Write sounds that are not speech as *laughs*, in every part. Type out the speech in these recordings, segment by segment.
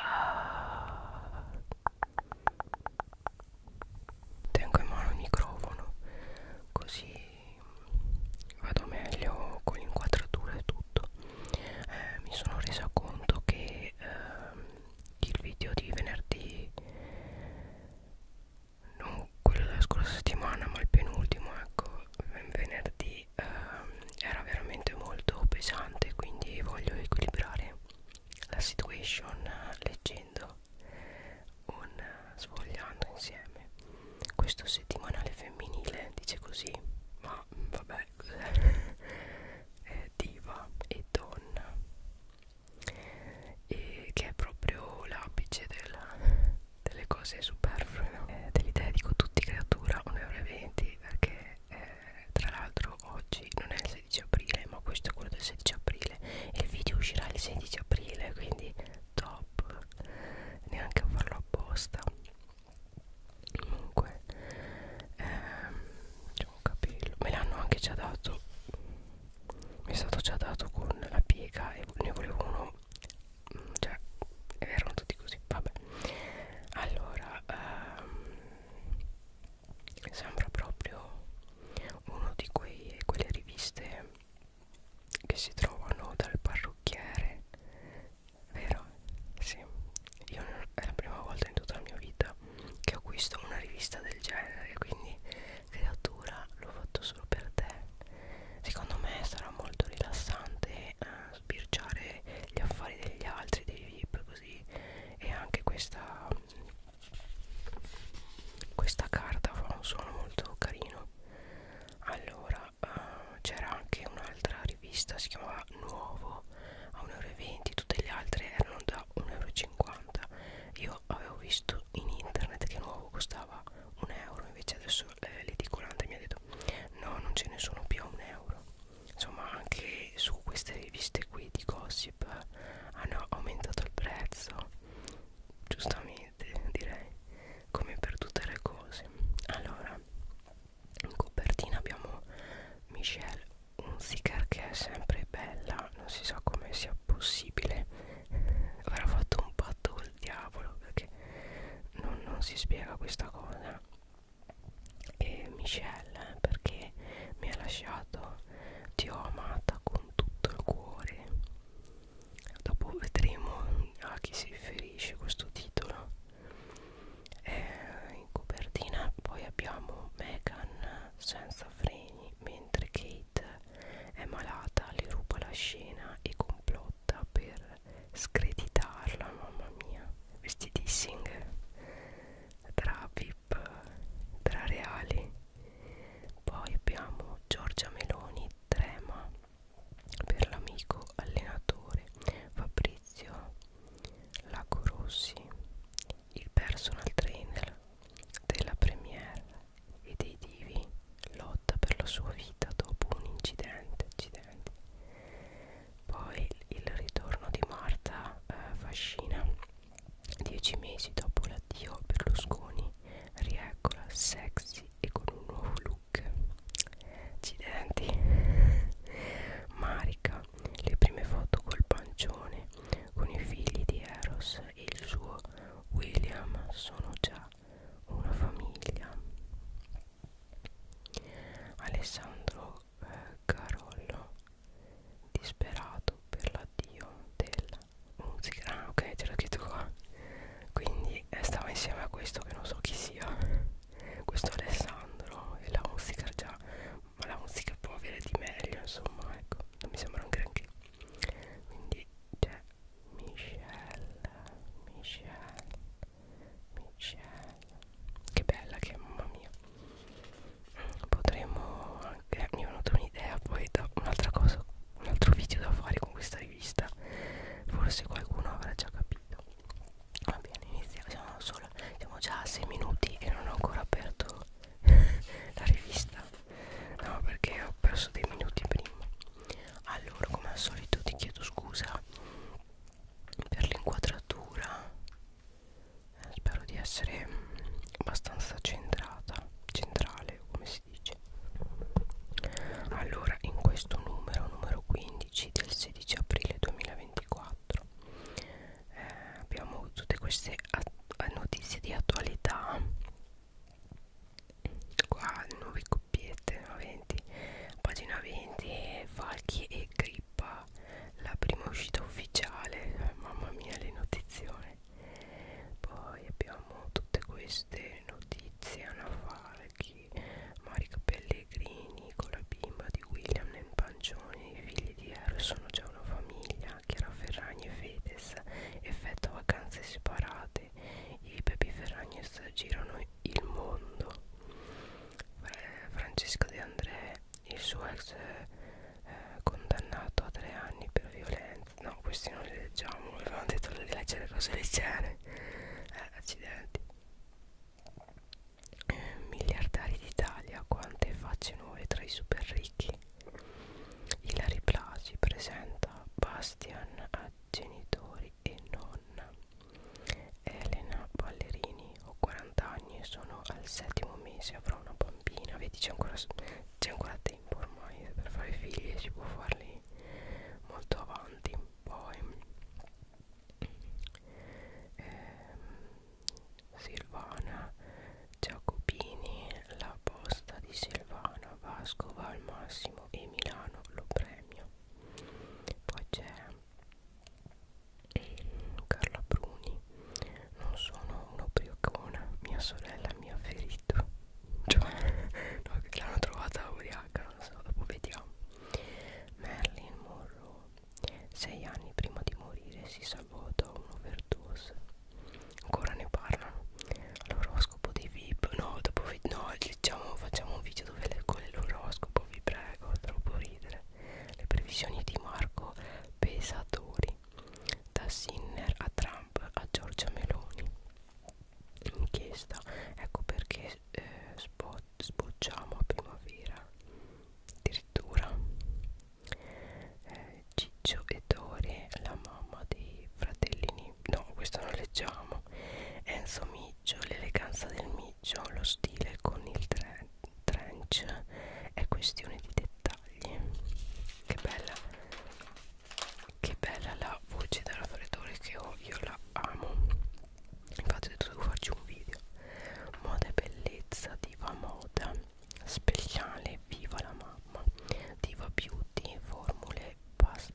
uh, tengo in mano il microfono così vado meglio con l'inquadratura e tutto eh, mi sono resa conto che uh, il video di venerdì non quello della scorsa settimana ma il penultimo ecco venerdì ehm, era veramente molto pesante quindi voglio equilibrare la situation eh, leggendo un eh, sfogliando insieme questo settimanale femminile dice così ma mm, vabbè *laughs* è diva e donna e che è proprio l'apice della, delle cose superflue no? eh, dell'idea dico tutti creatura 1,20 euro perché eh, tra l'altro oggi non è il 16 aprile ma questo è quello del 16 aprile e il video uscirà il 16 aprile quindi top neanche a farlo apposta comunque ehm, c'è un capello me l'hanno anche già dato mi è stato già dato con la piega e ne volevo uno mm, cioè erano tutti così vabbè allora ehm, sembra proprio uno di quei, quelle riviste che si trovano dal parrucchiere vero? sì io è la prima volta in tutta la mia vita che acquisto una rivista del genere quindi creatura l'ho fatto solo per te secondo me sarà molto rilassante eh, sbirciare gli affari degli altri dei VIP così e anche questa questa carta fa un suono molto carino allora uh, c'era anche un'altra rivista si chiamava Nuovo a 1,20 euro tutte le altre erano da 1,50 euro io avevo visto in internet che Nuovo costava 1 euro invece adesso eh, l'edicolante mi ha detto no non ce ne sono più a 1 euro insomma anche su queste riviste qui di gossip hanno aumentato il prezzo giustamente direi come per tutte le cose allora in copertina abbiamo Michelle Unziker che è sempre bella non si sa come sia possibile avrà fatto un patto col diavolo perché non, non si spiega questa cosa e Michelle perché mi ha lasciato ti ho amata con tutto il cuore dopo vedremo a chi si riferisce questo titolo eh, in copertina poi abbiamo Megan senza freni mentre Kate è malata le ruba la scena e complotta per screditarla mamma mia vestitissing tra VIP tra reali poi abbiamo Giorgia Meloni Trema per l'amico allenatore Fabrizio Lago Rossi il personal trainer della Premier e dei divi lotta per la sua vita dopo un incidente, incidente. poi il ritorno di Marta eh, Fascina Dieci mesi dopo l'addio Berlusconi rieccola sexy e con un nuovo look. Accidenti. *laughs* Marica, le prime foto col pancione, con i figli di Eros e il suo William sono già una famiglia. Alessandro eh, Carollo disperato per l'addio della musica ah ok c'era scritto qua quindi eh, stavo insieme a questo che non so chi sia questo Alessandro e la musica già ma la musica può avere di meglio insomma ecco non mi sembra un granché quindi c'è Michelle Michelle Michelle che bella che mamma mia potremmo anche mi è venuta un'idea poi da un'altra cosa un altro video da fare con questa rivista forse qualcuno avrà già capito va bene iniziamo siamo solo siamo già a 6 minuti e non ho ancora aperto *laughs* la rivista no perché ho perso dei minuti prima allora come al solito ti chiedo scusa per l'inquadratura eh, spero di essere abbastanza centrata centrale come si dice allora in questo numero numero 15 del 16 aprile 2024 eh, abbiamo tutte queste eh, notizie di attualità qua nuove coppiette 20, pagina 20 falchi e grippa la, la prima uscita ufficiale mamma mia le notizione poi abbiamo tutte queste notizie Anna Falchi Marica Pellegrini con la bimba di William e Pancioni i figli di Ero sono già una famiglia Chiara Ferragni e Fedez effetto vacanze separate i Pepi Ferragni girano il mondo eh, Francesco De André il suo ex eh, eh, condannato a tre anni per violenza no questi non li leggiamo avevamo detto di leggere cose leggere eh, accidenti eh, miliardari d'Italia quante facce nuove tra i super ricchi Ilari Plasi presenta Bastian a genitori e nonna Elena Ballerini ho 40 anni e sono al settimo mese avrò una bambina vedi c'è ancora, ancora tempo ormai eh, per fare figli e si può farli molto avanti poi ehm, Silvana Giacopini la posta di Silvana Vascova al massimo e Milano lo premio poi c'è ehm, Carla Bruni non sono un'obriocona, mia sorella mi ha ferito. Cioè, no, che l'hanno trovata ubriaca, non so, dopo vediamo. Marilyn Monroe, sei anni prima di morire, si salvò da un'overdose. Ancora ne parlano. L'oroscopo dei VIP, no, dopo no, diciamo, facciamo un video dove le, con l'oroscopo, vi prego, troppo ridere. Le previsioni di Marco Pesatori da Sinner a Trump a Giorgia Meloni inchiesta ecco perché eh, sbo sbocciamo a primavera addirittura eh, Ciccio e Dore la mamma dei fratellini no questo non leggiamo Enzo Miccio l'eleganza del Miccio lo stile con il trend trench è questione di dettagli che bella che bella la voce da raffreddore che ho io la amo infatti ho detto devo farci un video moda e bellezza diva moda speciale viva la mamma diva beauty formule pas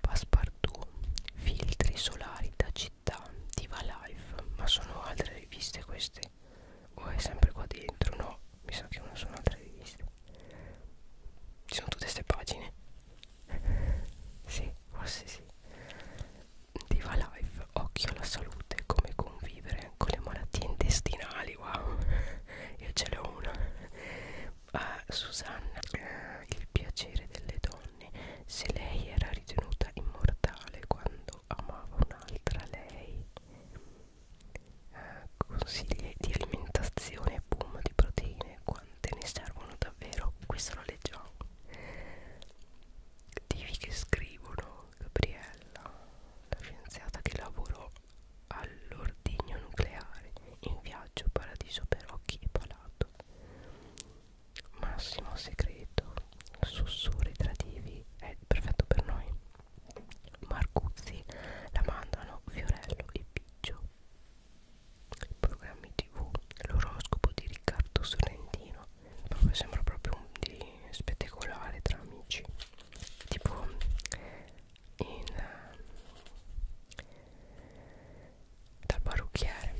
passepartout filtri solari da città diva life ma sono altre riviste queste riviste o è sempre qua dentro no mi sa che non sono altre riviste ci sono tutte queste pagine *laughs* sì forse sì Diva Life occhio alla salute come convivere con le malattie intestinali wow *laughs* io ce l'ho una ah, Susanna eh, il piacere delle donne se lei era ritenuta immortale quando quando amava un'altra lei eh, consigli di alimentazione boom di proteine quante ne servono davvero questo lo leggiamo divi che scrivono Gabriella la scienziata che lavorò all'ordigno nucleare in viaggio paradiso per occhi e palato massimo segreto sussurri tradivi è eh, perfetto per noi Marcuzzi la mandano Fiorello e Biggio programmi tv l'oroscopo di Riccardo Sorrentino proprio, sembra proprio un di spettacolare tra amici tipo in ehm, dal parrucchiere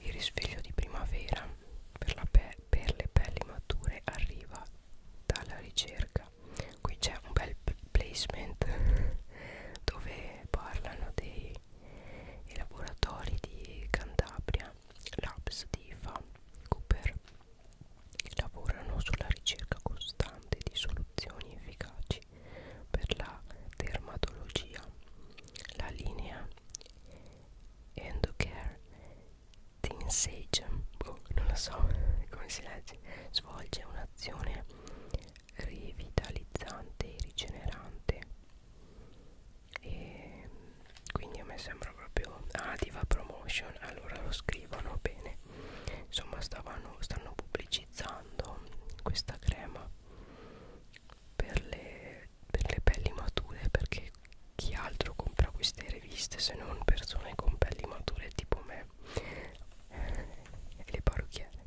il risveglio di primavera per, la pe per le pelli mature arriva dalla ricerca. Qui c'è un bel placement *laughs* dove parlano dei laboratori di Cantabria, Labs di Fa Cooper, che lavorano sulla ricerca costante di soluzioni efficaci medici per la dermatologia la linea Endocare Tinsage boh, non lo so *laughs* come si legge svolge un'azione revitalizzante e rigenerante e quindi a me sembra proprio ah diva promotion allora lo scrivono bene insomma stavano, stanno pubblicizzando questa crema per le, per le pelli mature perché chi altro compra queste riviste se non persone con pelli mature tipo me eh, e le parrucchiere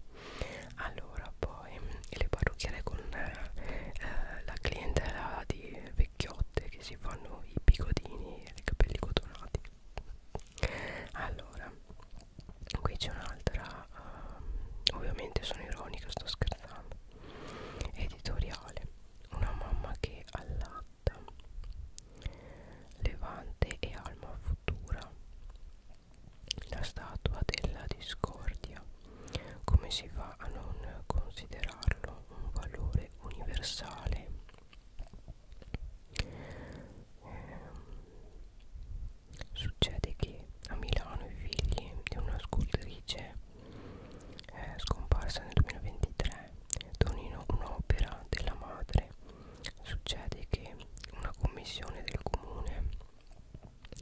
allora poi le parrucchiere con eh, la clientela di vecchiotte che si fanno i bigodini e i capelli cotonati allora qui c'è un'altra um, ovviamente sono ironica sto scherzando editoriale una mamma che allatta levante e alma futura la statua della discordia come si fa a non considerarlo un valore universale eh, Succede che a Milano i figli di una scultrice eh, scomparsa nel 2023 donino un'opera della madre. Succede che una commissione del comune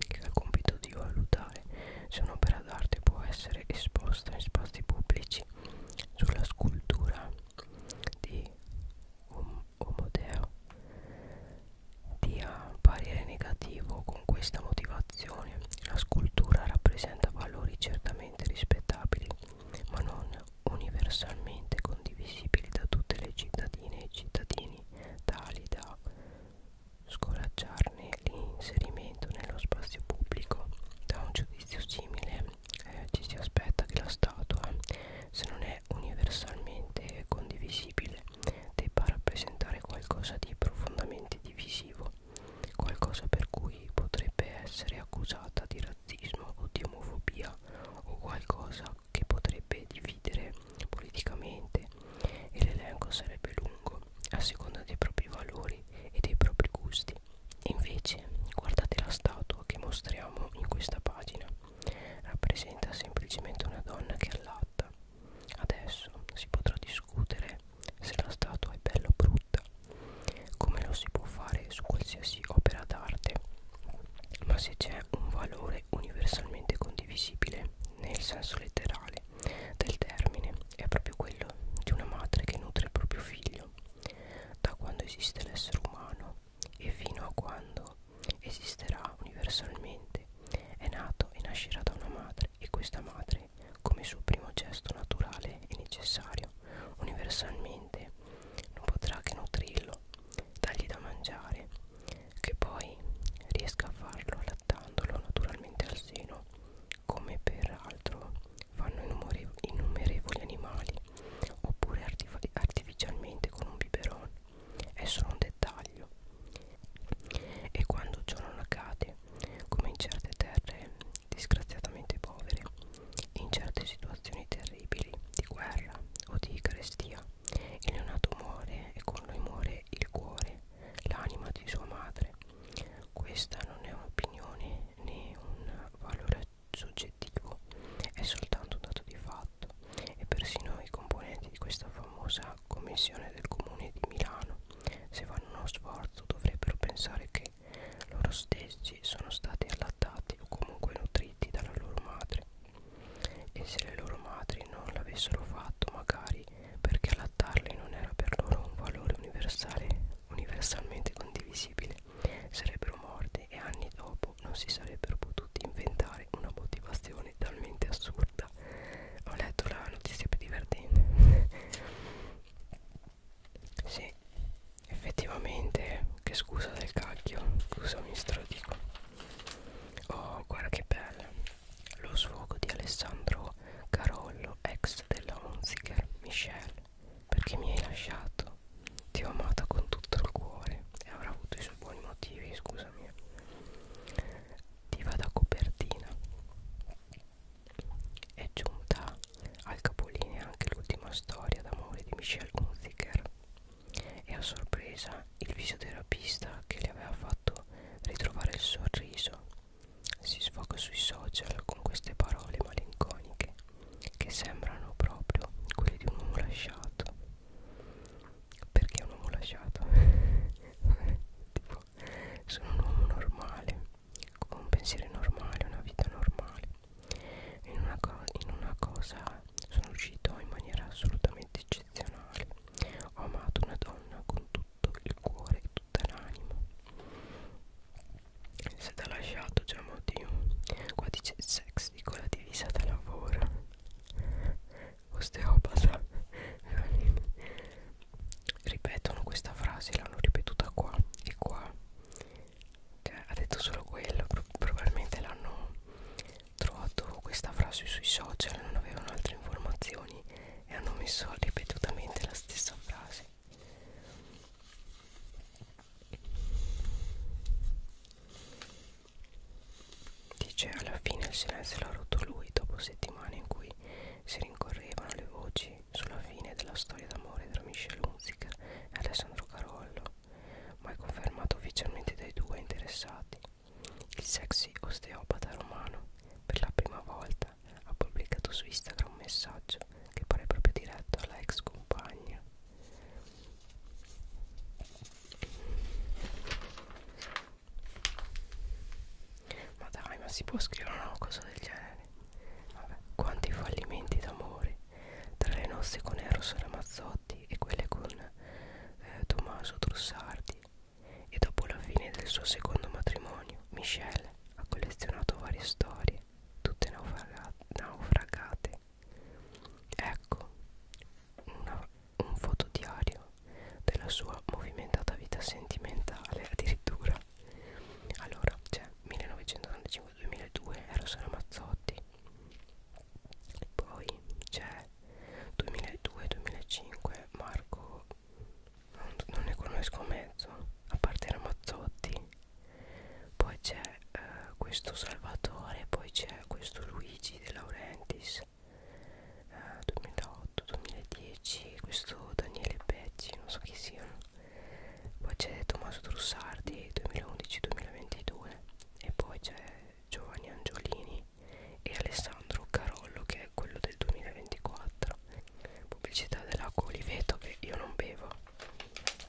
che ha il compito di valutare se un'opera d'arte può essere esposta in spazi pubblici sulla scultura di Omodeo dia parere negativo con questa motivazione la scultura rappresenta valori certamente rispettabili ma non universalmente condivisibili da tutte le cittadine e cittadini tali da scoraggiarne l'inserimento nello spazio pubblico da un giudizio simile eh, ci si aspetta che lo Stato eh, se non è universalmente condivisibile debba rappresentare qualcosa di profondamente divisivo, qualcosa per cui potrebbe essere accusata di razzismo o di omofobia o qualcosa che potrebbe dividere politicamente e l'elenco sarebbe lungo a seconda dei propri valori e dei propri gusti. Invece guardate la statua che mostriamo in questa pagina, rappresenta semplicemente una donna che allatta Adesso si potrà discutere se la statua è bella o brutta, come lo si può fare su qualsiasi opera d'arte, ma se c'è un valore universalmente condivisibile nel senso letterale del termine, è proprio quello di una madre che nutre il proprio figlio da quando esiste l'essere umano e fino a quando esisterà universalmente, è nato e nascerà da una madre e questa madre, come suo primo gesto naturale e necessario, universalmente non potrà che nutrirlo, dargli da mangiare, che poi riesca a farlo allattandolo naturalmente al seno, come peraltro fanno innumerevoli animali, oppure artificialmente con un biberon è solo un dettaglio e quando ciò non accade come in certe terre disgraziatamente povere in certe situazioni terribili di guerra o di carestia il neonato muore e con lui muore il cuore l'anima di sua madre questa non è un'opinione né un valore soggettivo è soltanto un dato di fatto e persino i componenti di questa famosa una commissione del comune di Milano se fanno uno sforzo dovrebbero pensare che loro stessi sono stati allattati o comunque nutriti dalla loro madre e se le loro madri non l'avessero fatto magari perché allattarli non era per loro un valore universale universalmente condivisibile sarebbero morti e anni dopo non si sarebbero potuti inventare una motivazione talmente assurda corta ho letto la notizia più divertente *laughs* sì effettivamente che scusa del cacchio scusami stradico oh guarda che bella lo sfogo di Alessandro Carollo ex della Hunziker Michelle perché mi hai lasciato ti ho amata con tutto il cuore e avrà avuto i suoi buoni motivi scusami attiva da copertina è giunta al capolinea anche l'ultima storia d'amore di Michelle Hunziker e a sorpresa il fisioterapista che le aveva fatto ritrovare il sorriso si sfoga sui social con queste parole malinconiche che sembrano proprio quelle di un uomo lasciato perché un uomo lasciato *laughs* tipo sono un uomo normale con un pensiero normale una vita normale in una, in una cosa sono uscito in maniera assolutamente eccezionale ho amato una donna con tutto il cuore e tutta l'anima è stata lasciato già cioè, oddio qua dice sex di con la divisa da lavoro osteopata ripetono questa frase l'hanno ripetuta qua e qua cioè, ha detto solo quello Pro probabilmente l'hanno trovato questa frase sui social non avevano altre informazioni e hanno messo ripetutamente la stessa frase Dice alla fine il silenzio l'ha rotto lui dopo settimane in cui si rincorrevano le voci sulla fine della storia d'amore tra Michel Hunziker e Alessandro Carollo, mai confermato ufficialmente dai due interessati. Il sexy osteopata romano per la prima volta ha pubblicato su Instagram un messaggio che pare proprio diretto alla ex compagna. Ma dai, ma si può scrivere una cosa del genere? Vabbè, quanti fallimenti d'amore tra le nostre con Eros Ramazzotti e quelle con eh, Tommaso Trussardi. E dopo la fine del suo secondo matrimonio, Michelle ha collezionato varie storie, tutte naufragate. naufragate. Ecco, una, un fotodiario della sua movimentata vita sentimentale addirittura allora c'è cioè, 1995-2002 Eros Ramazzotti poi c'è 2002-2005 Marco non, non ne conosco mezzo a parte Ramazzotti poi c'è eh, questo Salvatore poi c'è questo Luigi De Laurentiis eh, 2008-2010 questo Daniele Pecci non so chi siano poi c'è Tommaso Trussardi 2011-2022 e poi c'è Giovanni Angiolini e Alessandro Carollo che è quello del 2024 pubblicità dell'acqua oliveto che io non bevo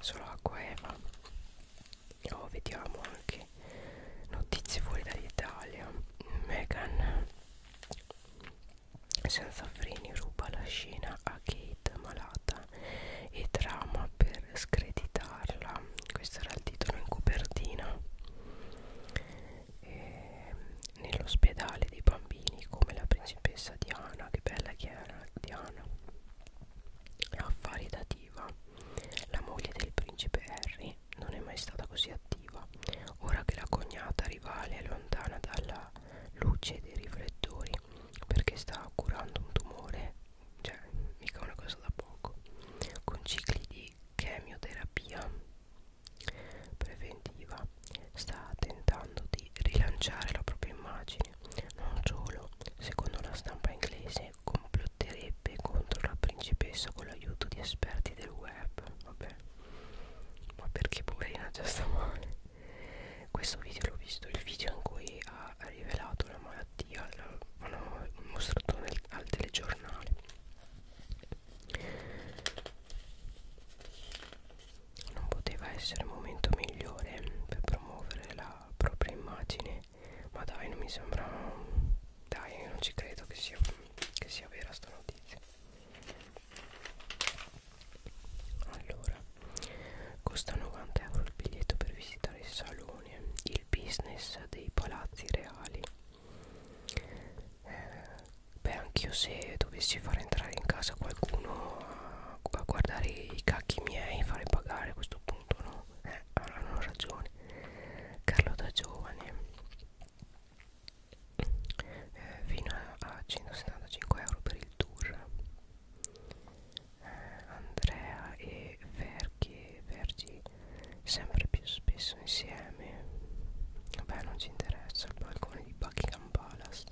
solo acqua eva oh, vediamo anche notizie fuori dall'Italia Megan senza freni ruba la scena a Kate malata e trama per screditarla. Questo era il titolo in copertina. E nell'ospedale dei bambini come la principessa Diana, che bella che era Diana, affaridativa, la moglie del principe Harry non è mai stata così attiva. Ora che la cognata rivale è lontana dalla luce dei riflettori perché sta curando un tumore, cioè mica una cosa da poco, con cicli di chemioterapia preventiva, sta tentando di rilanciare la propria immagine, non solo, secondo la stampa inglese, complotterebbe contro la principessa con l'aiuto di esperti del web. Vabbè, ma perché poverina già sta male questo video l'ho visto il video in cui ha rivelato la malattia l'hanno mostrato nel, al telegiornale non poteva essere un momento migliore per promuovere la propria immagine ma dai non mi sembra dai, non ci credo che sia, che sia vera sta notizia. Allora, costa 90 euro il biglietto per visitare il salone, il business dei palazzi reali. Eh, beh, anch'io se dovessi far entrare in casa qualcuno a, a guardare i cacchi miei, fare pagare a questo punto, no? Eh, hanno ragione. Carlo da giovane eh, fino a 175 euro per il tour eh, Andrea e Verghi, Vergi sempre più spesso insieme vabbè non ci interessa il balcone di Buckingham Palace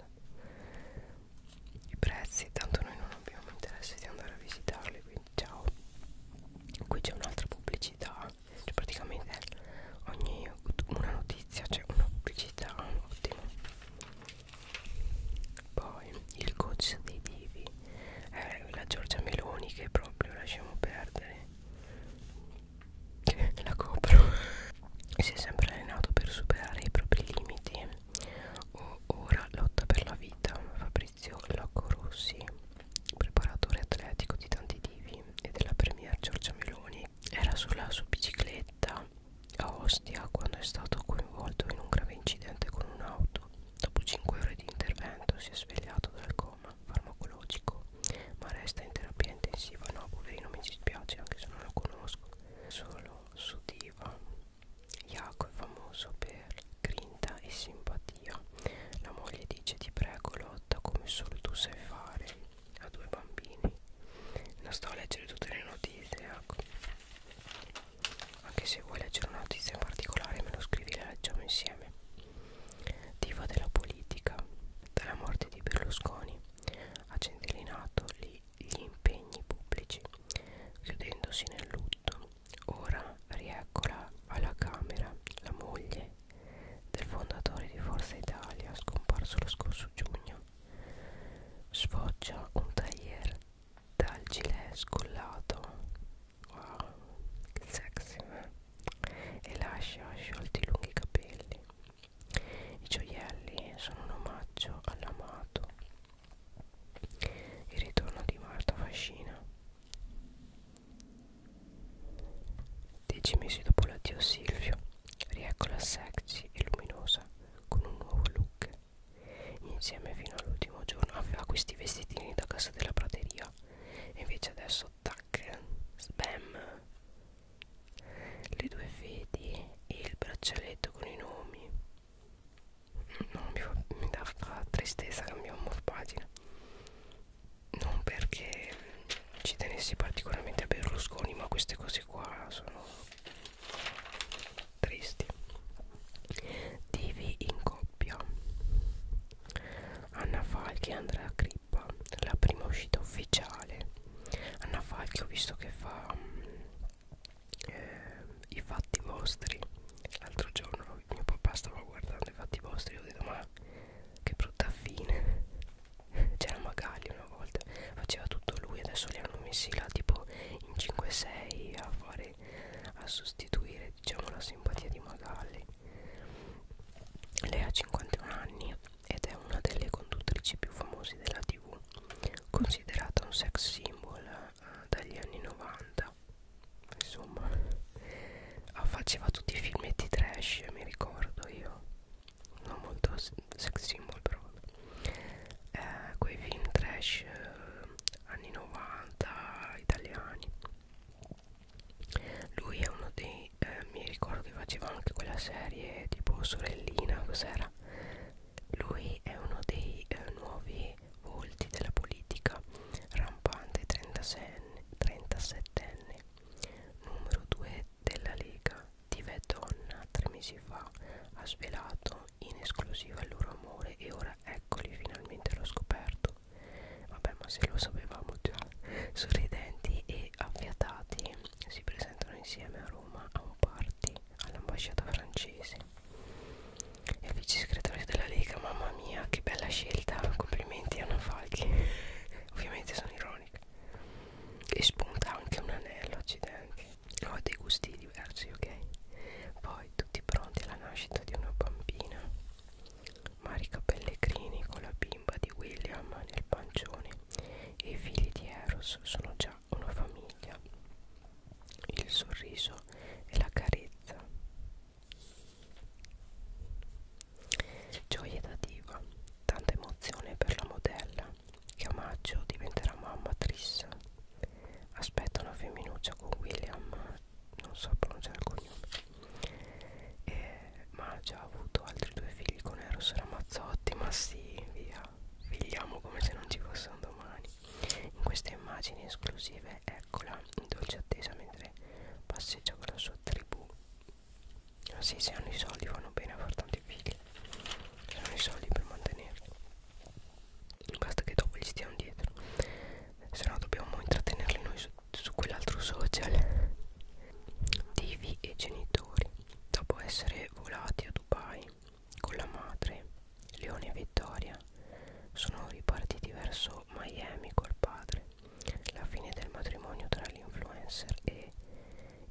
i prezzi tanto noi non abbiamo interesse di andare a visitarli quindi ciao qui c'è un'altra pubblicità cioè praticamente ogni una notizia c'è cioè una pubblicità un ottimo poi il coach dei divi eh, la Giorgia Meloni che proprio lasciamo perdere che *laughs* la copro *laughs* si è sempre allenato per superare i propri limiti o ora lotta per la vita Fabrizio Locco Rossi preparatore atletico di tanti divi e della premier Giorgia Meloni, era sulla sua bicicletta a Ostia quando è stato coinvolto in un grave incidente con un'auto. Dopo 5 ore di intervento si è svegliato dal coma farmacologico, ma resta in terapia intensiva. No, poverino, mi dispiace anche se non lo conosco. Solo su Diva. Iaco è famoso per grinta e simpatia. La moglie dice: Ti prego, lo fatta come solo tu sai fare a due bambini non sto a leggere tutte le notizie ecco. anche se vuoi leggere una notizia in particolare me lo scrivi e la leggiamo insieme diva della politica dalla morte di Berlusconi ha centellinato gli, gli impegni pubblici chiudendosi nel lutto ora rieccola alla camera la moglie del fondatore di Forza Italia scomparso lo scorso giugno sfoggia un tagliere dal gilet scollato wow sexy eh? e lascia sciolti i lunghi capelli i gioielli sono un omaggio all'amato il ritorno di Marta Fascina Dieci mesi dopo l'addio Silvio, rieccola sexy e luminosa con un nuovo look. Insieme fino all'ultimo giorno aveva questi vestitini da casa della prateria e invece adesso tac, spam. Le due fedi e il braccialetto con i nomi. Mm, no, mi, fa, mi dà fa tristezza, cambiamo pagina non perché ci tenessi particolarmente a Berlusconi ma queste cose qua sono tristi TV in coppia Anna Falchi e Andrea Crippa la prima uscita ufficiale Anna Falchi ho visto che fa eh, i fatti vostri l'altro giorno mio papà stava guardando i fatti vostri e ho detto ma che brutta fine c'era Magali una volta faceva tutto lui adesso li hanno messi là tipo in 5-6 a fare a sostituire diciamo la simpatia di Magali lei ha 51 anni ed è una delle conduttrici più famose della tv considerata un sex symbol eh, dagli anni 90 insomma Ah, faceva tutti i filmetti trash mi ricordo io non molto sex symbol però eh, quei film trash eh, anni 90 italiani lui è uno dei eh, mi ricordo che faceva anche quella serie tipo sorellina cos'era lui è uno dei eh, nuovi volti della politica rampante 36 37enne numero 2 della Lega Tive Donna tre mesi fa ha svelato in esclusiva il loro amore e ora eccoli finalmente l'ho scoperto vabbè ma se lo sapevamo già sorridenti e affiatati si presentano insieme a Roma a un party all'ambasciata francese e vice segretario della Lega mamma mia che bella scelta complimenti Anna Falchi *laughs* ovviamente sono ironica e spunta anche un anello accidenti ho dei gusti diversi ok poi tutti pronti alla nascita di una bambina Marica Pellegrini con la bimba di William nel pancione e i figli di Eros sono già una famiglia il sorriso e la carezza Gioia da diva, tanta emozione per la modella che a maggio diventerà mamma Triss. Aspetta una femminuccia con William, non so pronunciare il cognome. Eh, ma ha già avuto altri due figli con Eros Ramazzotti, ma sì, via, figliamo come se non ci fosse un domani. In queste immagini esclusive, eccola in dolce attesa mentre passeggia con la sua tribù Ah sì, se hanno i soldi vanno bene a far tanti figli. Se hanno i soldi per mantenerli. Basta che dopo gli stiamo dietro. Se no dobbiamo intrattenerli noi su, su quell'altro social. Divi e genitori. Dopo essere volati a Dubai con la madre, Leone e Vittoria sono ripartiti verso Miami col padre. La fine del matrimonio tra l'influencer e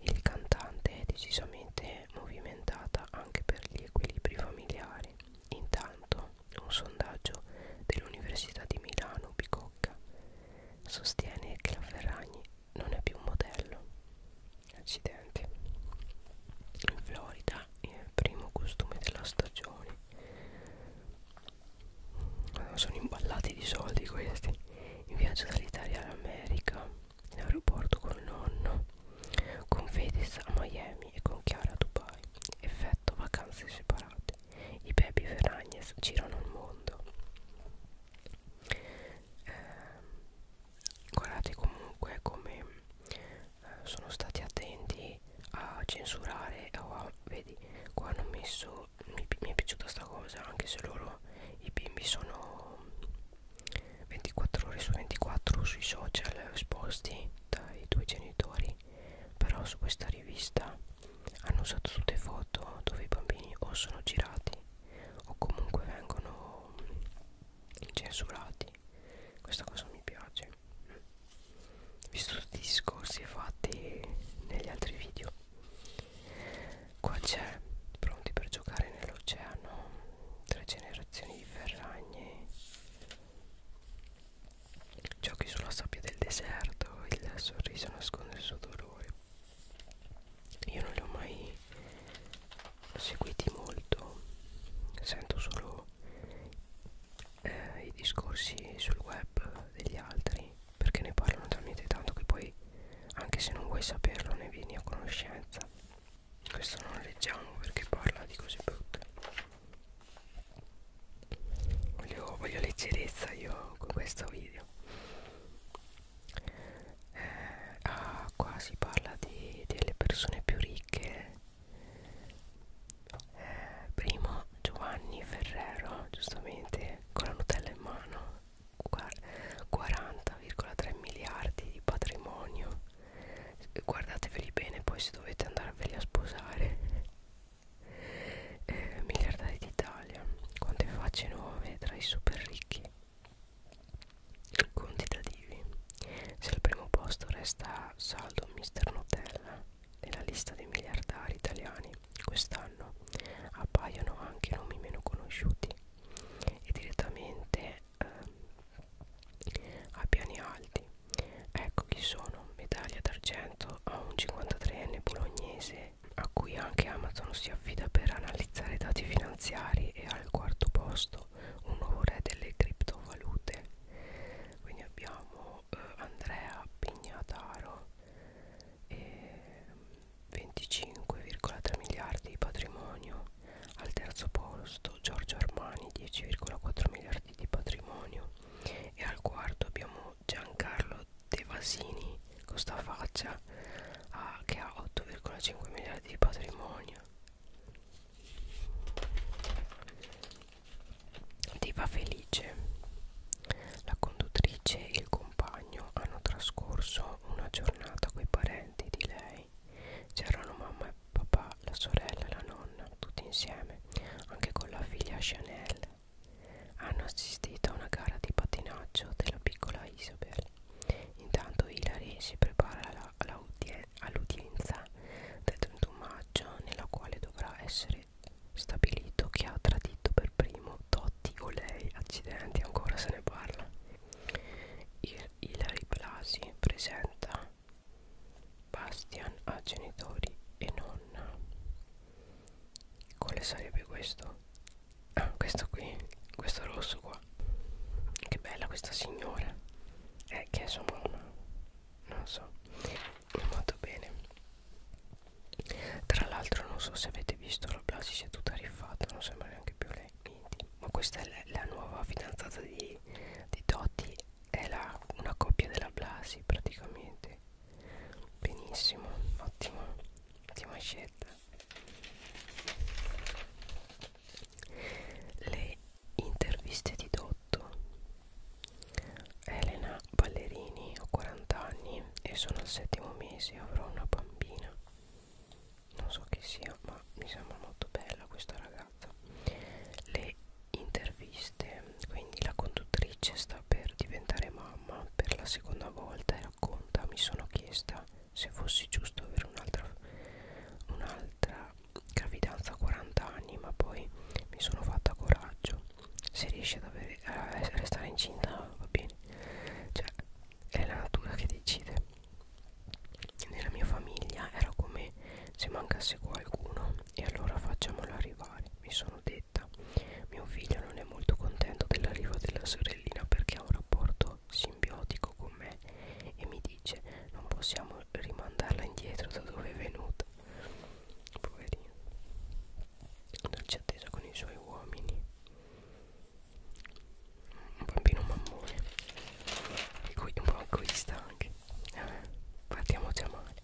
il cantante è decisamente movimentata anche per gli equilibri familiari. Intanto, un sondaggio dell'Università di Milano Bicocca sostiene che la Ferragni non è più un modello. Accidenti. In Florida, il primo costume della stagione sono imballati di soldi questi in viaggio dall'Italia all'America in aeroporto col nonno con Fedez a Miami e con Chiara a Dubai effetto vacanze separate i baby Ferragnes girano il mondo eh, guardate comunque come eh, sono stati attenti a censurare oh, vedi qua hanno messo mi, mi è piaciuta sta cosa anche se loro i bimbi sono 24 ore su 24 sui social esposti dai tuoi genitori però su questa rivista hanno usato tutte foto dove i bambini o sono girati o comunque vengono censurati questa cosa mi piace visto tutti i discorsi fatti negli altri video Qua c'è, pronti per giocare nell'oceano, tre generazioni di ferragni, giochi sulla sabbia del deserto, il sorriso nasconde il suo dolore. Io non li ho mai seguiti molto, sento solo eh, i discorsi sul web degli altri perché ne parlano talmente tanto che poi anche se non vuoi saperlo ne vieni a conoscenza questo non leggiamo perché parla di cose brutte voglio, voglio leggerezza io con questo video eh, ah, qua si parla di, delle persone più ricche eh, primo Giovanni Ferrero giustamente con la Nutella in mano 40,3 miliardi di patrimonio guardateveli bene poi se dovete andarveli a sposare eh, miliardari d'Italia quante facce nuove tra i super ricchi quantitativi se al primo posto resta saldo mister Nutella nella lista dei miliardari italiani quest'anno appaiono anche nomi meno conosciuti e direttamente eh, a piani alti. Ecco chi sono, medaglia d'argento a un 53enne bolognese a cui anche Amazon si affida per analizzare i dati finanziari e al quarto posto un nuovo re delle criptovalute. Quindi abbiamo eh, Andrea Pignataro 25,3 miliardi di patrimonio al terzo posto Giorgio Armani 10,4 miliardi di patrimonio e al quarto abbiamo Giancarlo De Vasini con sta faccia ah, che ha 8,5 miliardi di patrimonio ti fa felice la conduttrice e il compagno hanno trascorso una giornata coi parenti di lei. C'erano mamma e papà, la sorella e la nonna, tutti insieme, anche con la figlia Chanel. Hanno assistito a una gara di pattinaggio della piccola Isabel. Intanto Hilary si prepara all'udienza del 31 maggio, nella quale dovrà essere stabilito chi ha tradito per per primo Totti o lei accidenti ancora se ne parla Il, Ilari Blasi presenta Bastian a genitori e nonna quale sarebbe questo? ah questo qui questo rosso qua che bella questa signora eh che è sua mamma non so molto bene tra l'altro non so se avete visto la Blasi è tutta rifatta, non sembra neanche più lei. Ma questa è la, la nuova fidanzata di, di Totti, è la, una coppia della Blasi praticamente. Benissimo, ottima, ottima scelta. Le interviste di Dotto. Elena Ballerini, ho 40 anni, anni e sono al settimo mese avrò una bambina non so chi sia ma mi sembra molto bella questa ragazza le interviste quindi la conduttrice sta per diventare mamma per la seconda volta e racconta mi sono chiesta se fosse giusto avere un'altra un'altra gravidanza a 40 anni ma poi mi sono fatta coraggio se riesci ad avere a restare incinta va bene cioè è la natura che decide nella mia famiglia era come se mancasse qualcuno e allora facciamolo arrivare mi sono detta mio figlio non è molto contento dell'arrivo della sorellina perché ha un rapporto simbiotico con me e mi dice non possiamo rimandarla indietro da dove è venuta poverino dolce attesa con i suoi uomini un bambino mammone e qui un po' egoista anche eh, partiamoci a male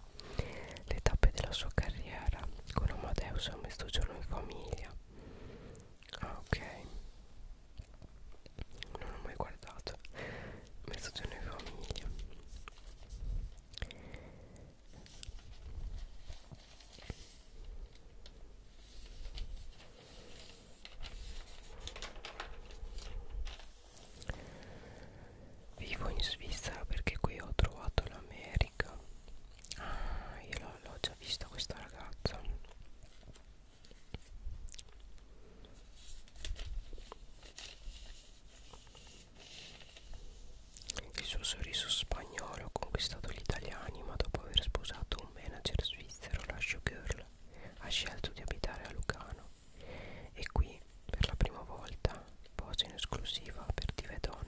le tappe della sua carriera con Amadeus a mezzogiorno in famiglia ah ok non ho mai guardato mezzogiorno in famiglia Vivo in Svizzera perché qui ho trovato l'America. Ah, io l'ho già vista questa ragazza. Il suo sorriso spagnolo ha conquistato gli italiani, ma dopo aver sposato un manager svizzero, la showgirl ha scelto di abitare a Lucano. E qui, per la prima volta, posa in esclusiva per Dive Donna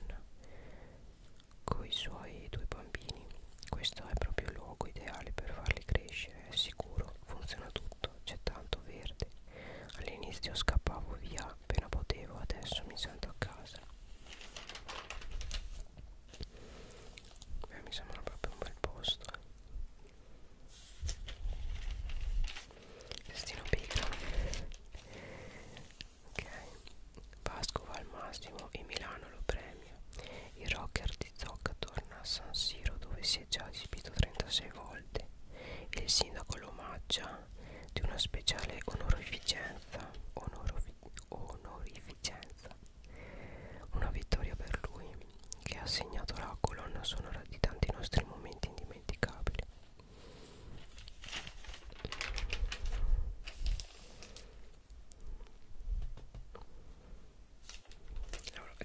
coi suoi due bambini. Questo è proprio il luogo ideale per farli crescere, è sicuro, funziona tutto, c'è tanto verde. All'inizio scappavo via appena potevo, adesso mi sento a casa. Beh, mi sembra proprio un bel posto. Eh. Destino piccolo. ok. Pascova al massimo e Milano lo premia. Il rocker di Zocca torna a San Siro dove si è già esibito 36 volte. Il sindaco lo omaggia di una speciale onorificenza. Onorificenza onorificenza. Una vittoria per lui che ha segnato la colonna sonora di tanti nostri momenti indimenticabili.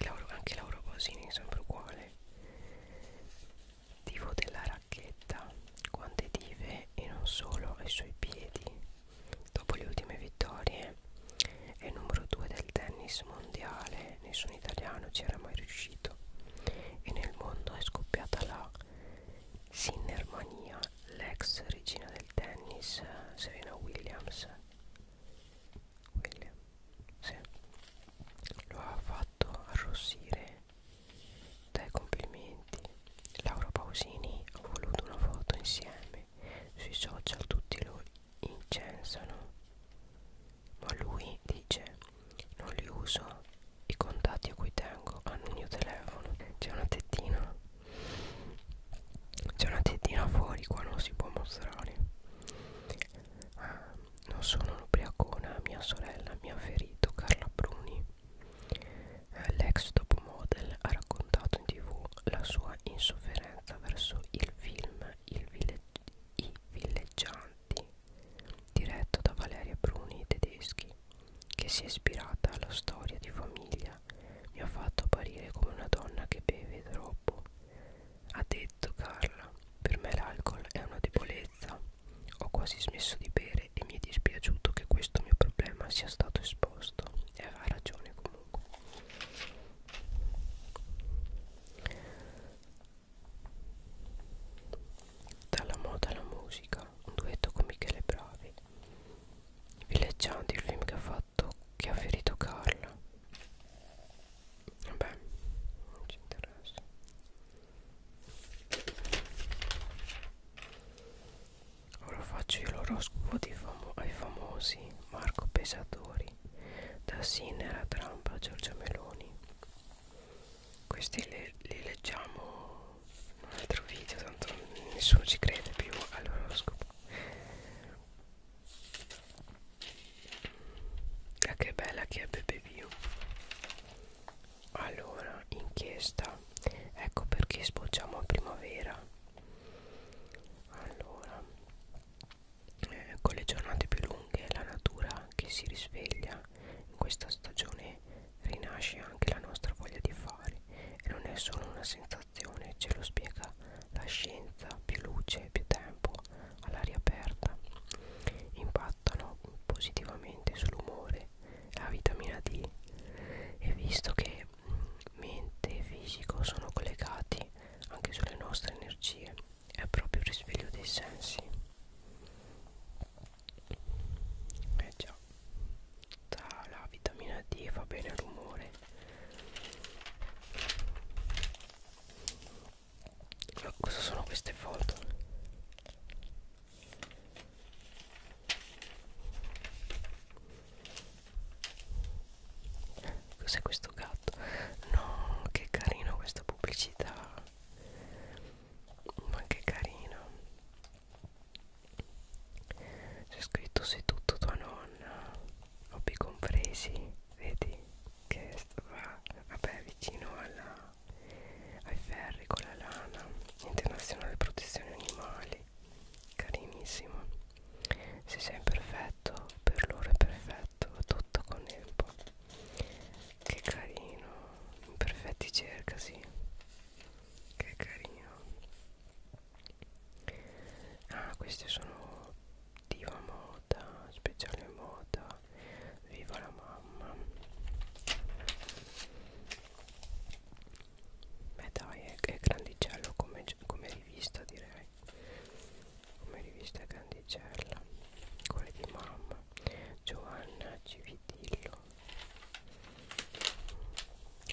Lauro, anche Lauro Bosini è sempre uguale. Tifo della racchetta, quante dive e non solo ai suoi piedi Dopo le ultime vittorie è il numero 2 del tennis mondiale, nessun italiano ci era mai riuscito e nel mondo è scoppiata la Sinnermania, l'ex regina del tennis Serena Williams. William, sì. Lo ha fatto arrossire dai complimenti Laura Pausini ha voluto una foto insieme sui social tutti lo incensano ma lui dice non li uso i contatti a cui tengo hanno il mio telefono c'è una tettina c'è una tettina fuori qua non si può mostrare ah, non sono un ubriacona mia sorella mi ha ferito Carla Bruni L'ex top model ha raccontato in tv la sua insofferenza verso il film il village, I villeggianti diretto da Valeria Bruni tedeschi che si è ispirata alla storia di famiglia mi ha fatto apparire come una donna che beve troppo ha detto Carla per me l'alcol è una debolezza ho quasi smesso di bere piacere e mi è dispiaciuto che questo mio problema sia stato esposto e aveva ragione comunque dalla moda alla musica un duetto con Michele Bravi villeggianti il film che ha fatto che ha ferito Carla vabbè non ci interessa Ora faccio io l'oroscopo famo ai famosi Marco Pesatori, da Sinera Trump a Giorgia Meloni. Questi li, li leggiamo in un altro video, tanto nessuno ci crede più all'oroscopo. Ah, che bella che è BBV. Allora, inchiesta ecco perché sbocciamo a primavera allora eh, con le giornate più lunghe è la natura che si risveglia in questa stagione rinasce anche la nostra voglia di fare e non è solo una sensazione ce lo spiega la scienza più luce più tempo all'aria aperta impattano positivamente sull'umore la vitamina D e visto che mente e fisico sono collegati anche sulle nostre energie è proprio il risveglio dei sensi eh già tra la vitamina D fa bene il rumore ma cosa sono queste foto Cos'è questo gatto? No, che carino questa pubblicità. Ma che carino. C'è scritto sei tutto tua nonna. Hobby compresi. Vedi che va vabbè vicino alla, ai ferri con la lana. Internazionale protezione animali carinissimo se sei perfetto per loro è perfetto tutto con tempo che carino imperfetti cerca sì che carino ah questi sono diva moda speciale moda viva la mamma beh dai è, è grandicello come, come rivista direi come rivista grandicella quella di mamma Giovanna Civitillo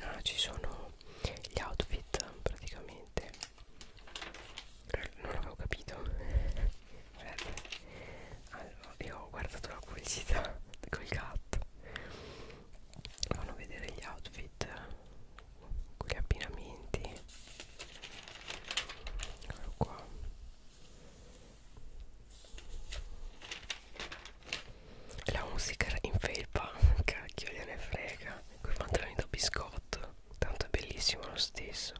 ah, ci sono gli outfit praticamente non l'avevo capito guardate *laughs* allora, io ho guardato la pubblicità *laughs* col gatto fanno vedere gli outfit con gli abbinamenti eccolo qua la musica in felpa *laughs* cacchio gliene frega quei pantaloni da biscotto tanto è bellissimo lo stesso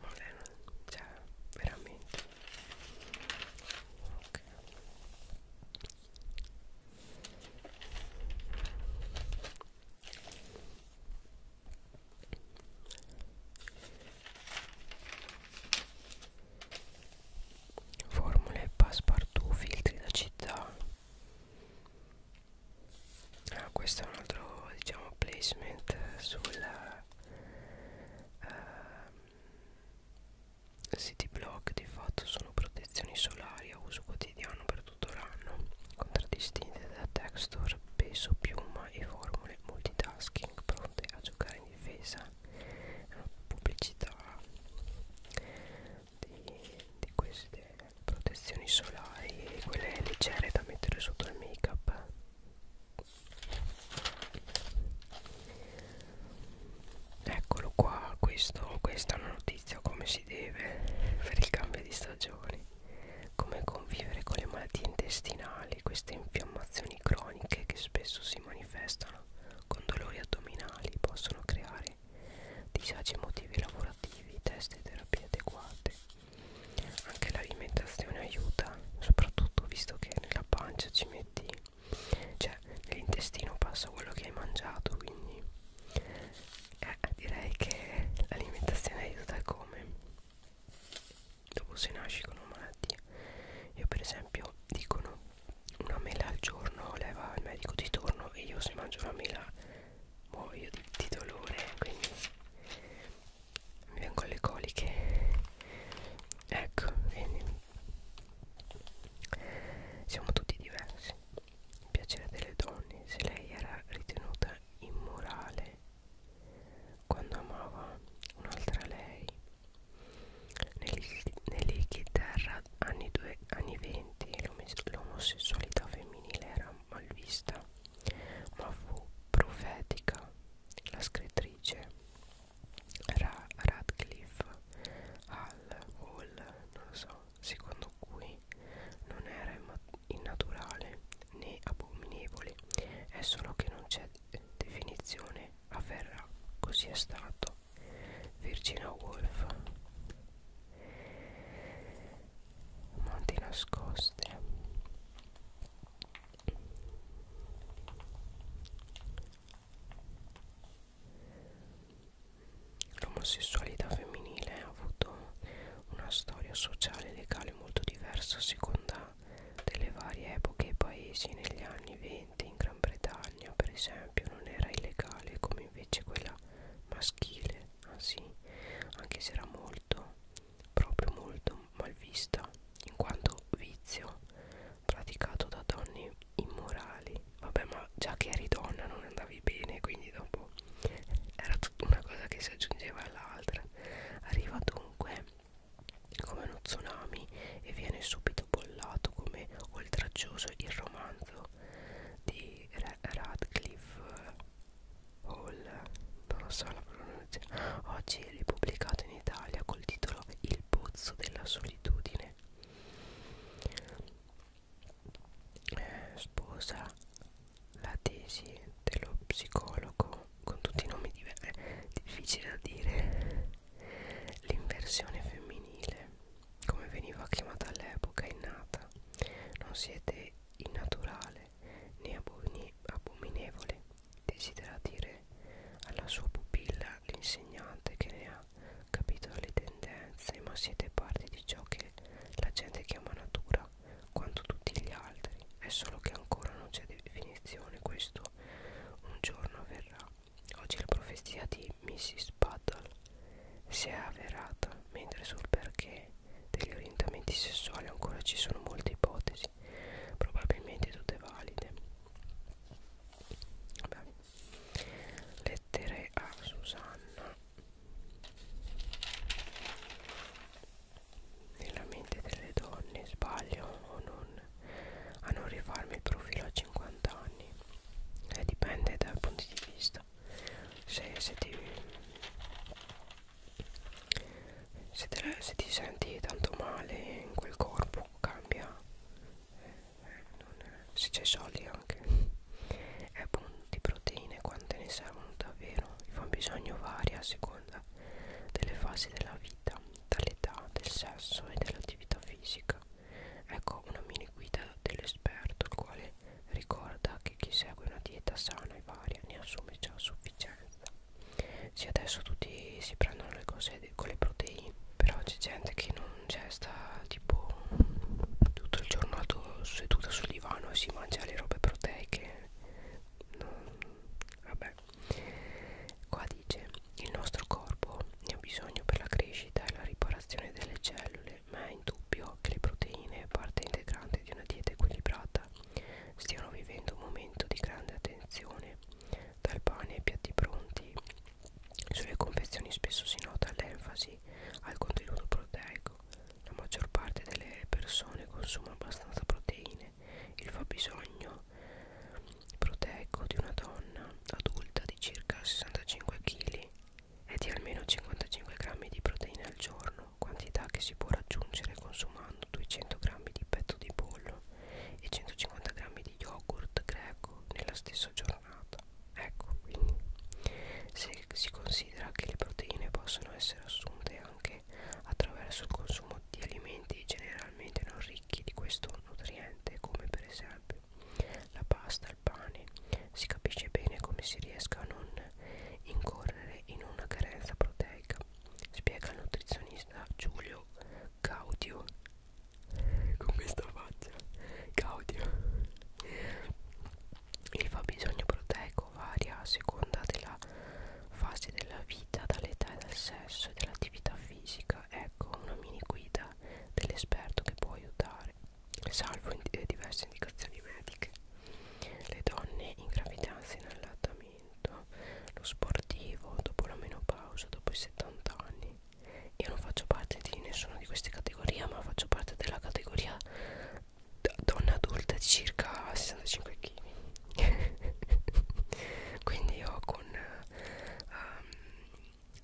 ma lei non cioè veramente ok Formule passepartout, filtri da città. Ah, questo è un altro diciamo placement sul eh, City Block di fatto sono protezioni solari a uso quotidiano per tutto l'anno, contraddistinte da texture, peso, piuma e formule multitasking pronte a giocare in difesa. È una pubblicità di, di queste protezioni solari, quelle leggere da mettere sotto il make up eccolo qua questo, questa è una notizia come si deve per il cambio di stagione come convivere con le malattie intestinali queste infiammazioni croniche che spesso si manifestano con dolori addominali possono creare disagi emotivi lavorativi test e terapie adeguate anche l'alimentazione aiuta soprattutto visto che nella pancia ci metti cioè nell'intestino passa quello che hai mangiato quindi eh, direi che l'alimentazione aiuta come dopo se nasci con una malattia io per esempio dicono una mela al giorno leva il medico di torno e io se mangio una mela muoio di, di dolore quindi mi vengono le coliche ecco quindi siamo tutti diversi. Il piacere delle donne, se lei era ritenuta immorale quando amava un'altra lei. Nelle chitarra anni, due, anni 20 l'omosessualità femminile era malvista, ma fu profetica la scrittrice Ra Radcliffe al Hall, non lo so, secondo cui non era innaturale né abominevole, è solo che non c'è definizione, avverrà, così è stato. Virginia Woolf Monti nascoste L'omosessualità femminile ha avuto una storia sociale e legale molto diversa a seconda delle varie epoche e paesi. Negli anni 20 in Gran Bretagna, per esempio, non era illegale come invece quella maschile, anzi, anche se era molto, proprio molto malvista, in quanto vizio praticato da donne immorali vabbè ma già che eri donna non andavi bene quindi dopo era tutta una cosa che si aggiungeva all'altra arriva dunque come uno tsunami e viene subito bollato come oltraggioso il romanzo di Radcliffe Hall non lo so la pronuncia oggi è ripubblicato in Italia col titolo Il pozzo della solitudine eh, sposa la tesi dello psicologo con tutti i nomi diversi eh, difficile da dire l'inversione femminile come veniva chiamata all'epoca è nata non siete innaturale né abominevole desidera dire alla sua pupilla l'insegnante che ne ha capito le tendenze, ma siete parte di ciò che la gente chiama natura, quanto tutti gli altri. È solo che ancora non c'è definizione, questo un giorno avverrà. Oggi la profezia di Mrs. Battle si è avverata, mentre sul perché degli orientamenti sessuali ancora ci sono molte ipotesi, probabilmente tutte valide. Vabbè lettere a Susanna nella mente delle donne sbaglio o non a non rifarmi il profilo a 50 anni eh, dipende dal punto di vista se, se ti se, te, se ti senti tanto male in quel corpo cambia eh, non è, se c'è soldi anche è buono di proteine quante ne servono davvero il fabbisogno varia a seconda delle fasi della vita dall'età, del sesso e dell'attività fisica ecco una mini guida dell'esperto il quale ricorda che chi segue una dieta sana e varia ne assume già a sufficienza sì adesso tutti si prendono le cose con le proteine però c'è gente che non cioè sta tipo tutto il giorno seduta sul divano e si mangia le robe proteiche no, mm, vabbè qua dice il nostro corpo ne ha bisogno per la crescita e la riparazione delle cellule ma è indubbio che le proteine parte integrante di una dieta equilibrata stiano vivendo un momento di grande attenzione dal pane ai piatti pronti sulle confezioni spesso si nota l'enfasi al contenuto proteico. La maggior parte delle persone consuma abbastanza proteine. Il fabbisogno proteico di una donna adulta di circa 65 kg è di almeno 55 g di proteine al giorno, quantità che si può raggiungere consumando 200 g di petto di pollo e 150 g di yogurt greco nella stessa giornata. Ecco, quindi se si considera che le proteine possono essere assunte anche attraverso il consumo di alimenti generalmente non ricchi di questo nutriente, come per esempio la pasta, il pane, si capisce bene come si riesca a non incorrere in una carenza proteica, spiega il nutrizionista Giulio Gaudio con questa faccia Gaudio il fabbisogno proteico varia a seconda della fase della vita dall'età e dal sesso e dell'attività fisica ecco una mini guida dell'esperto che può aiutare salvo in diverse indicazioni mediche le donne in gravidanza e in allattamento lo sportivo dopo la menopausa dopo i 70 anni io non faccio parte di nessuna di queste categorie ma faccio parte della categoria donna adulta di circa 65 kg *laughs* quindi io con um,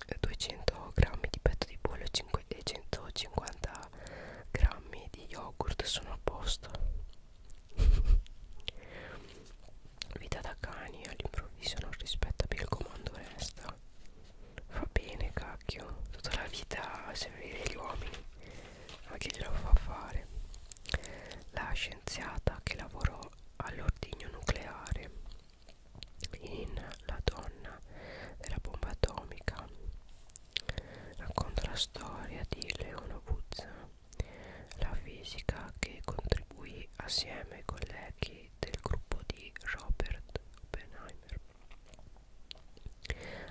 ehm, 200 grammi di petto di pollo e 150 grammi di yogurt sono a posto *laughs* vita da cani all'improvviso non rispetta più il comando resta Fa bene cacchio Tutta la vita servire gli uomini Ma chi glielo fa fare? La scienziata che lavorò all'ordigno nucleare In La donna della bomba atomica Racconta la storia di Leona Woods La fisica che contribuì assieme ai colleghi del gruppo di Robert Oppenheimer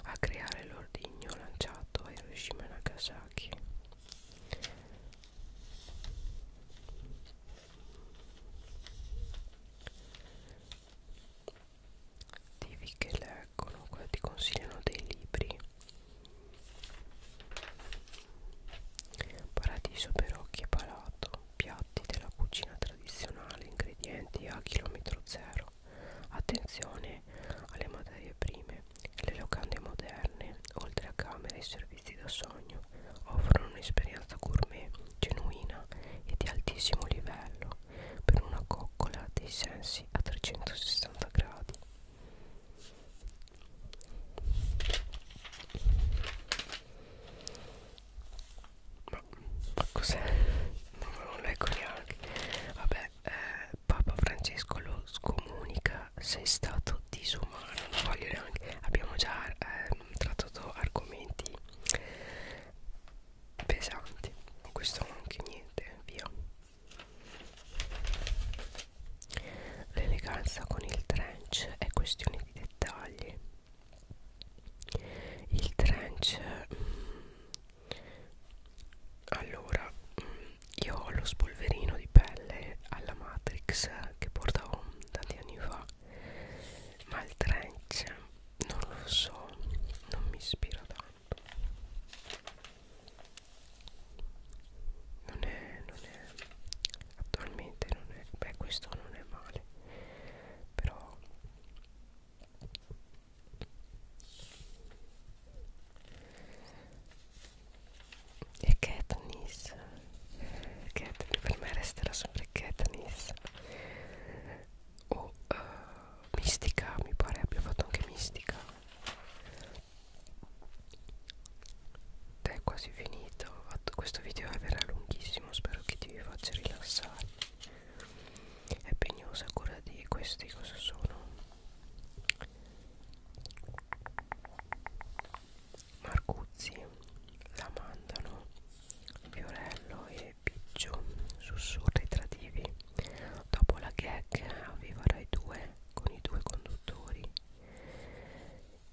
a creare l'ordigno lanciato a Hiroshima e Nagasaki Divi che leggono, qua ti consigliano dei libri Paradiso per occhi e palato piatti della cucina tradizionale, ingredienti a chilometro zero. Attenzione alle materie prime. Le locande moderne, oltre a camere e servizi da sogno, offrono un'esperienza gourmet genuina e di altissimo livello per una coccola dei sensi a 360 gradi. Ma, ma cos'è? Non, non leggo neanche. Vabbè, eh, Papa Francesco lo scomunica. Sei stato disumano. Non voglio neanche. Abbiamo già eh, trattato argomenti pesanti. Questo anche niente. Via. L'eleganza con il trench è questione di dettagli il trench mm, allora mm, io ho lo spolverino di pelle alla matrix che portavo tanti anni fa ma il trench non lo so non mi ispira tanto non è non è attualmente non è beh questo non è male però e Katniss Katniss, per me resterà sempre Katniss O oh, uh, eh, Mistica, mi pare abbia fatto anche Mistica Ed è quasi finito Questo video è verrà lunghissimo Spero che ti faccia rilassare è pegnosa quella di questi cosa sono Marcuzzi la mandano Fiorello e Piccio sussurri tradivi dopo la gag aveva i due con i due conduttori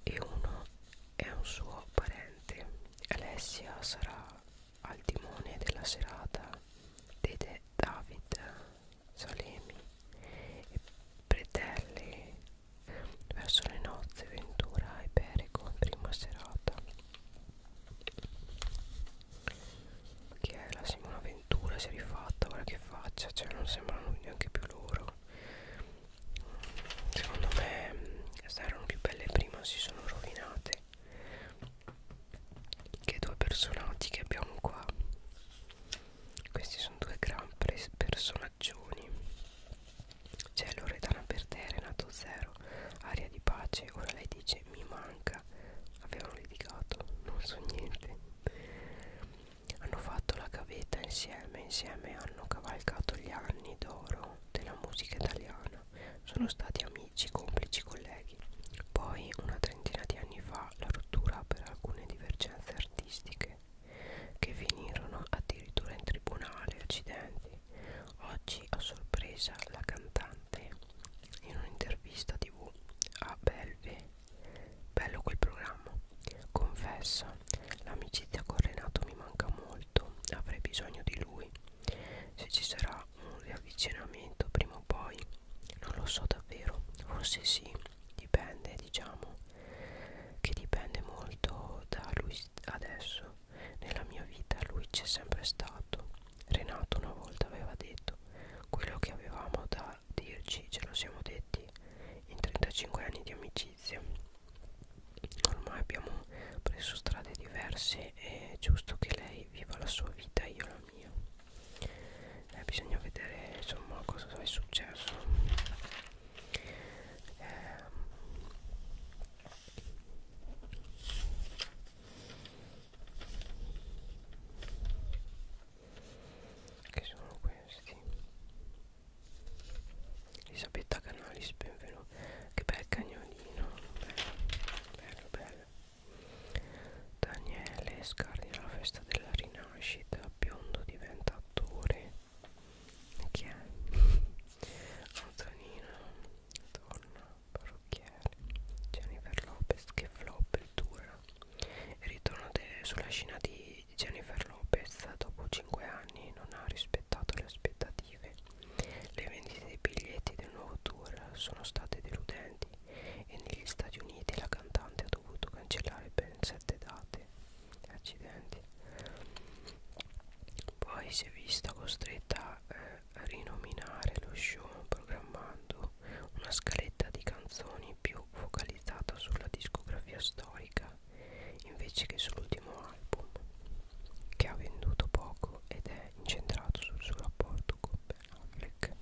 e uno è un suo parente Alessia sarà al timone della serata ed è David Salemi e Pretelle verso le nozze Ventura e Pereco prima serata che è la Simona Ventura si è rifatta guarda che faccia cioè non sembrano neanche più loro secondo me queste erano più belle prima si sono rovinate che due personaggi che abbiamo qua questi sono due gran personaggioni c'è Loredana Bertere nato zero aria di pace ora lei dice mi manca avevano litigato non so niente hanno fatto la gavetta insieme insieme hanno cavalcato gli anni d'oro della musica italiana Marina sono stati amici, complici, colleghi. Poi, una trentina di anni fa, la rottura per alcune divergenze artistiche che finirono addirittura in tribunale, accidenti. Oggi, a sorpresa, la cantante in un'intervista tv a Belve, bello quel programma, confessa l'amicizia con Renato mi manca molto molto avrei bisogno di lui se ci sarà un riavvicinamento prima o poi non lo so davvero forse sì dipende diciamo che dipende molto da lui adesso nella mia vita lui c'è sempre stato Renato una volta aveva detto quello che avevamo da dirci ce lo siamo detti in 35 anni di amicizia ormai abbiamo preso strade diverse è giusto che lei viva la sua vita e io la mia eh, bisogna vedere insomma cosa è successo eh, che sono questi Elisabetta Canalis benvenuto che bel cagno giornalino bello bello bello Daniele scardina la festa della rinascita biondo diventa attore chi è? Antonino torna parrucchiere Jennifer Lopez che flop il tour il ritorno sulla scena di Jennifer Lopez dopo 5 anni non ha rispettato le aspettative le vendite dei biglietti del nuovo tour sono state deludenti e negli Stati Uniti la cantante ha dovuto cancellare ben sette date. Accidenti. Poi si è vista costretta eh, a rinominare lo show programmando una scaletta di canzoni più focalizzata sulla discografia storica invece che sull'ultimo album che ha venduto poco ed è incentrato sul suo rapporto con Ben Affleck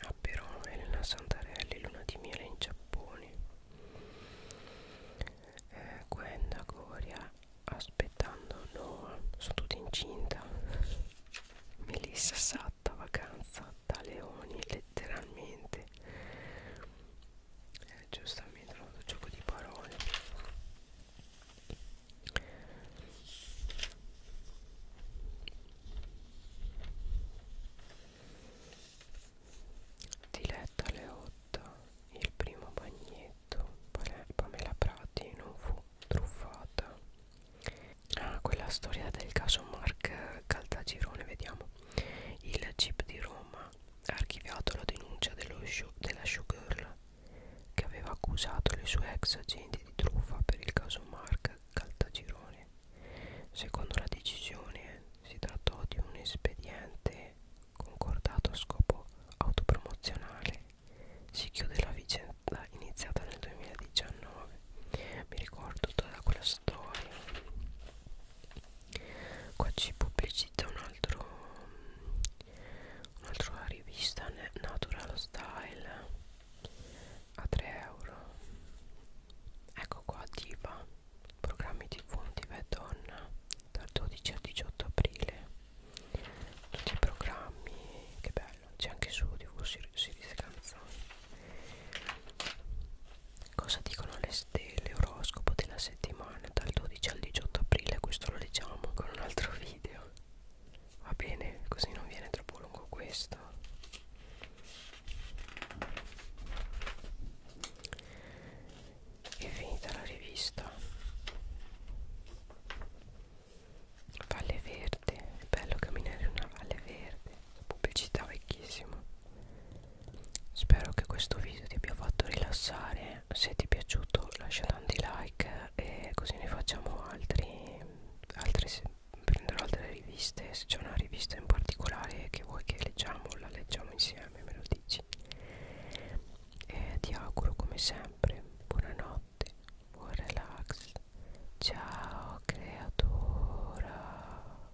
a Perone, Elena Santarelli, Luna di Miele in Giappone eh, Gwenda Goria aspettando Noah sono tutte incinta Melissa Satta vacanza da leoni letteralmente eh, giustamente un gioco di parole Diletta Leotta, il primo bagnetto, Pamela Prati non fu truffata. Ah, quella storia del caso Mark Caltagirone, vediamo. Il Jeep di Roma ha archiviato la denuncia dello show, della showgirl che aveva accusato le sue ex agenti di truffa per il caso Mark Caltagirone. Secondo la decisione si trattò di un espediente concordato a scopo autopromozionale. Si chiude la vicenda iniziata nel 2019. Mi ricordo tutta quella storia qua ci pubblicizza un altro un'altra rivista natural style a 3 euro ecco qua diva programmi tv diva e donna dal 12 al 18 aprile tutti i programmi che bello c'è anche su tv series canzoni Cosa dicono le stelle? Oroscopo della settimana dal 12 al 18 aprile. Questo lo leggiamo con un altro video. Va bene, così non viene troppo lungo questo. È finita la rivista. Valle Verde, è bello camminare in una valle verde, pubblicità vecchissima. Spero che questo video ti abbia fatto rilassare Se ti è piaciuto lasciate un di like E così ne facciamo altri, altri Prenderò altre riviste Se c'è una rivista in particolare che vuoi che leggiamo La leggiamo insieme, me lo dici E ti auguro come sempre Buonanotte, buon relax Ciao creatura